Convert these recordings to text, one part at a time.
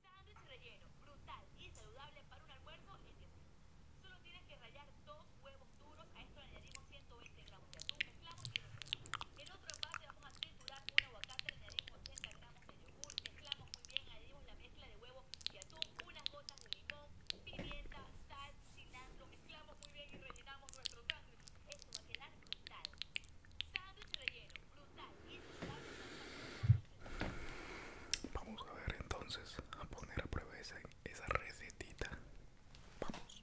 Sándwich relleno, brutal y saludable para un almuerzo, en decir, solo tienes que rallar dos huevos duros, a esto le añadimos 120 gramos de atún, mezclamos y lo rellenamos. En otro parte vamos a triturar una aguacate, añadimos 80 gramos de yogur, mezclamos muy bien, añadimos la mezcla de huevos y atún, unas gotas de limón, pimienta, sal, cilantro, mezclamos muy bien y rellenamos nuestro sandwich. Esto va a quedar brutal. Sándwich relleno, brutal... Vamos a ver entonces a poner a prueba esa, recetita. Vamos.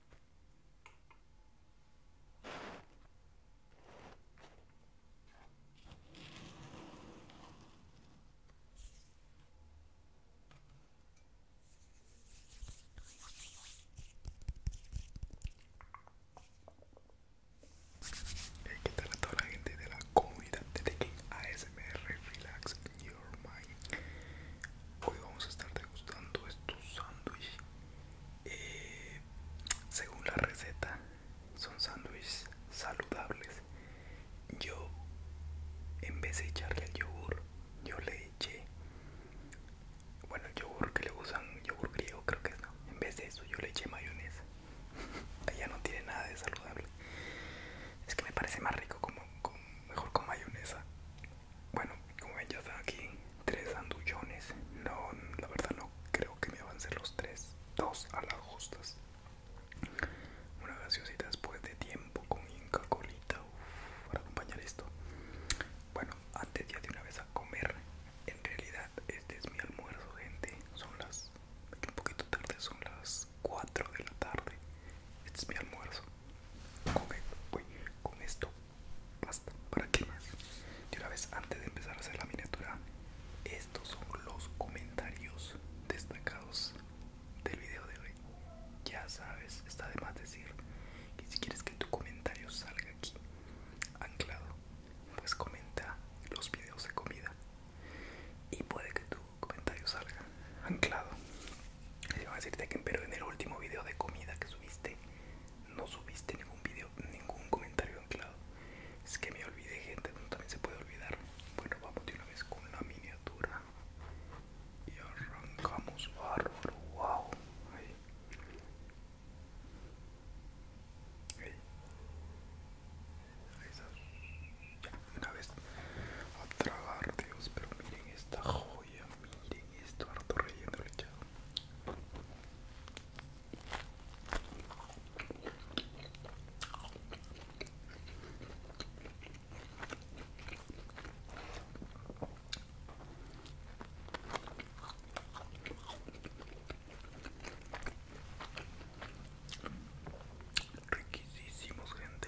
¿Qué tal a toda la gente de la comida de ASMR Relax Your Mind? Hoy vamos a estar degustando estos sándwiches eh, según la receta son sándwiches saludables yo en vez de echarle el yogur yo le eché bueno yogur que le usan yogur griego creo que es no en vez de eso yo le eché mayonesa allá no tiene nada de saludable es que me parece más rico como mejor con mayonesa bueno, como ven, ya están aquí tres andullones. No, la verdad, no creo que me ser los tres. Dos a las justas. Una gaseosita después de tiempo con Inca Colita para acompañar esto. Bueno, antes ya de una vez a comer. En realidad, este es mi almuerzo, gente. Son las. un poquito tarde, son las 4 de la tarde. Este es mi almuerzo. Con, uy, con esto basta, ¿para qué más? Y una vez antes de empezar a hacer la miniatura, estos son los comentarios destacados del video de hoy. Ya sabes, está de más decir que si quieres que tu comentario salga aquí, anclado, pues comenta los videos de comida y puede que tu comentario salga anclado. Y van a decirte que pero en el último video de comida que subiste no subiste ningún video, ningún comentario anclado. Es que me olvidé, gente, no también se puede olvidar. Bueno, vamos de una vez con la miniatura. Y arrancamos bárbaro, wow. Ahí. Ahí. Ya, una vez a tragar, Dios, pero miren esta Oye, miren esto, harto relleno lechado. riquísimos gente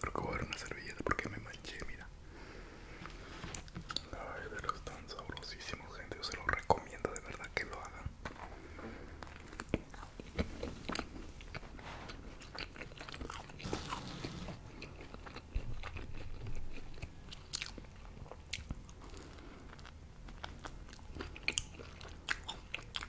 Creo que voy a dar una servilleta porque me manché, mira. La verdad es tan sabrosísimo, gente. Yo se lo recomiendo de verdad que lo hagan.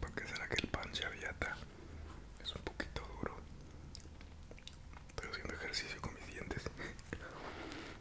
¿Por qué será que el pan chaviata es un poquito duro? Estoy haciendo ejercicio con mis dientes.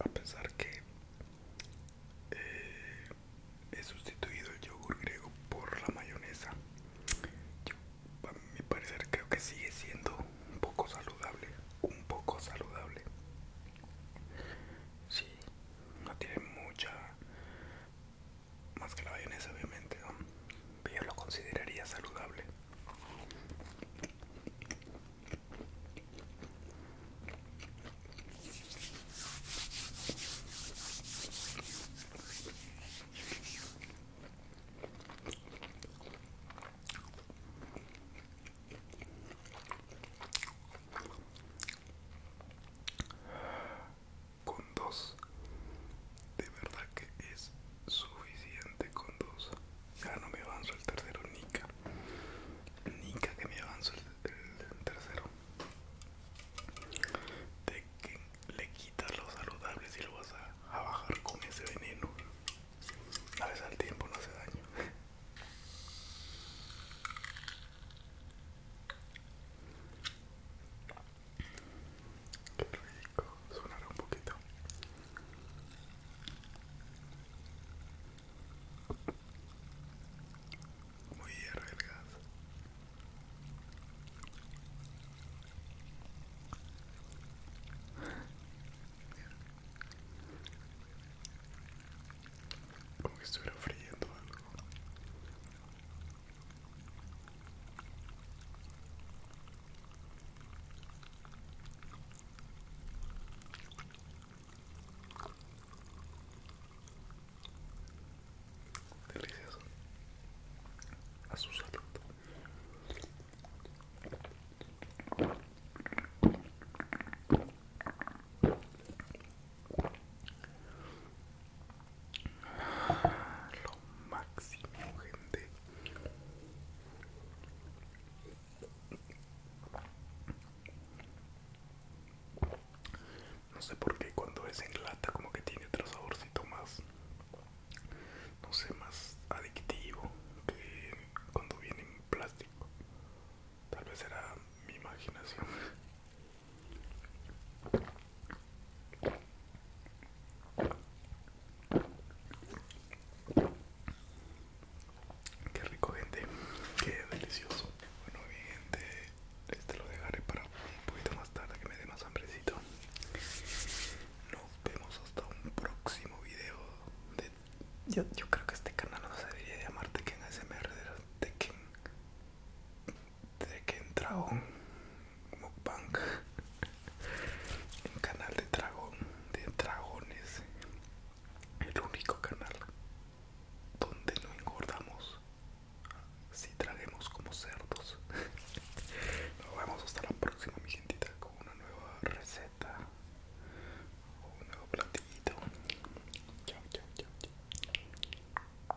a pesar que eh, he sustituido el yogur griego por la mayonesa a mi parecer creo que sigue siendo un poco saludable un poco saludable sí no tiene mucha más que la mayonesa obviamente yo lo consideraría saludable con dos de verdad que es suficiente con dos ya no me avanzo el tercero nica nica que me avanzo el, tercero de que le quitas los saludables y lo vas a, bajar con ese veneno a veces al tiempo no hace daño Qué rico, sonará un poquito. Muy arreglado, el gas. Como que estuviera friendo algo. Delicioso. A su salud. Lo máximo, gente. No sé por qué cuando es en lata como que tiene otro saborcito más, no sé, más adictivo que cuando viene en plástico. Tal vez era mi imaginación. Qué rico, gente. Qué delicioso. Bueno, bien gente, este lo dejaré para un poquito más tarde que me dé más hambrecito. Nos vemos hasta un próximo video. De... Yo, creo que este canal no se debería llamar Tekken ASMR, Tekken de que en como Mukbang, un canal de dragón, de dragones, el único canal donde no engordamos si traguemos como cerdos. Nos vemos hasta la próxima, mi gentita, con una nueva receta o un nuevo platito. chao, chao, chao.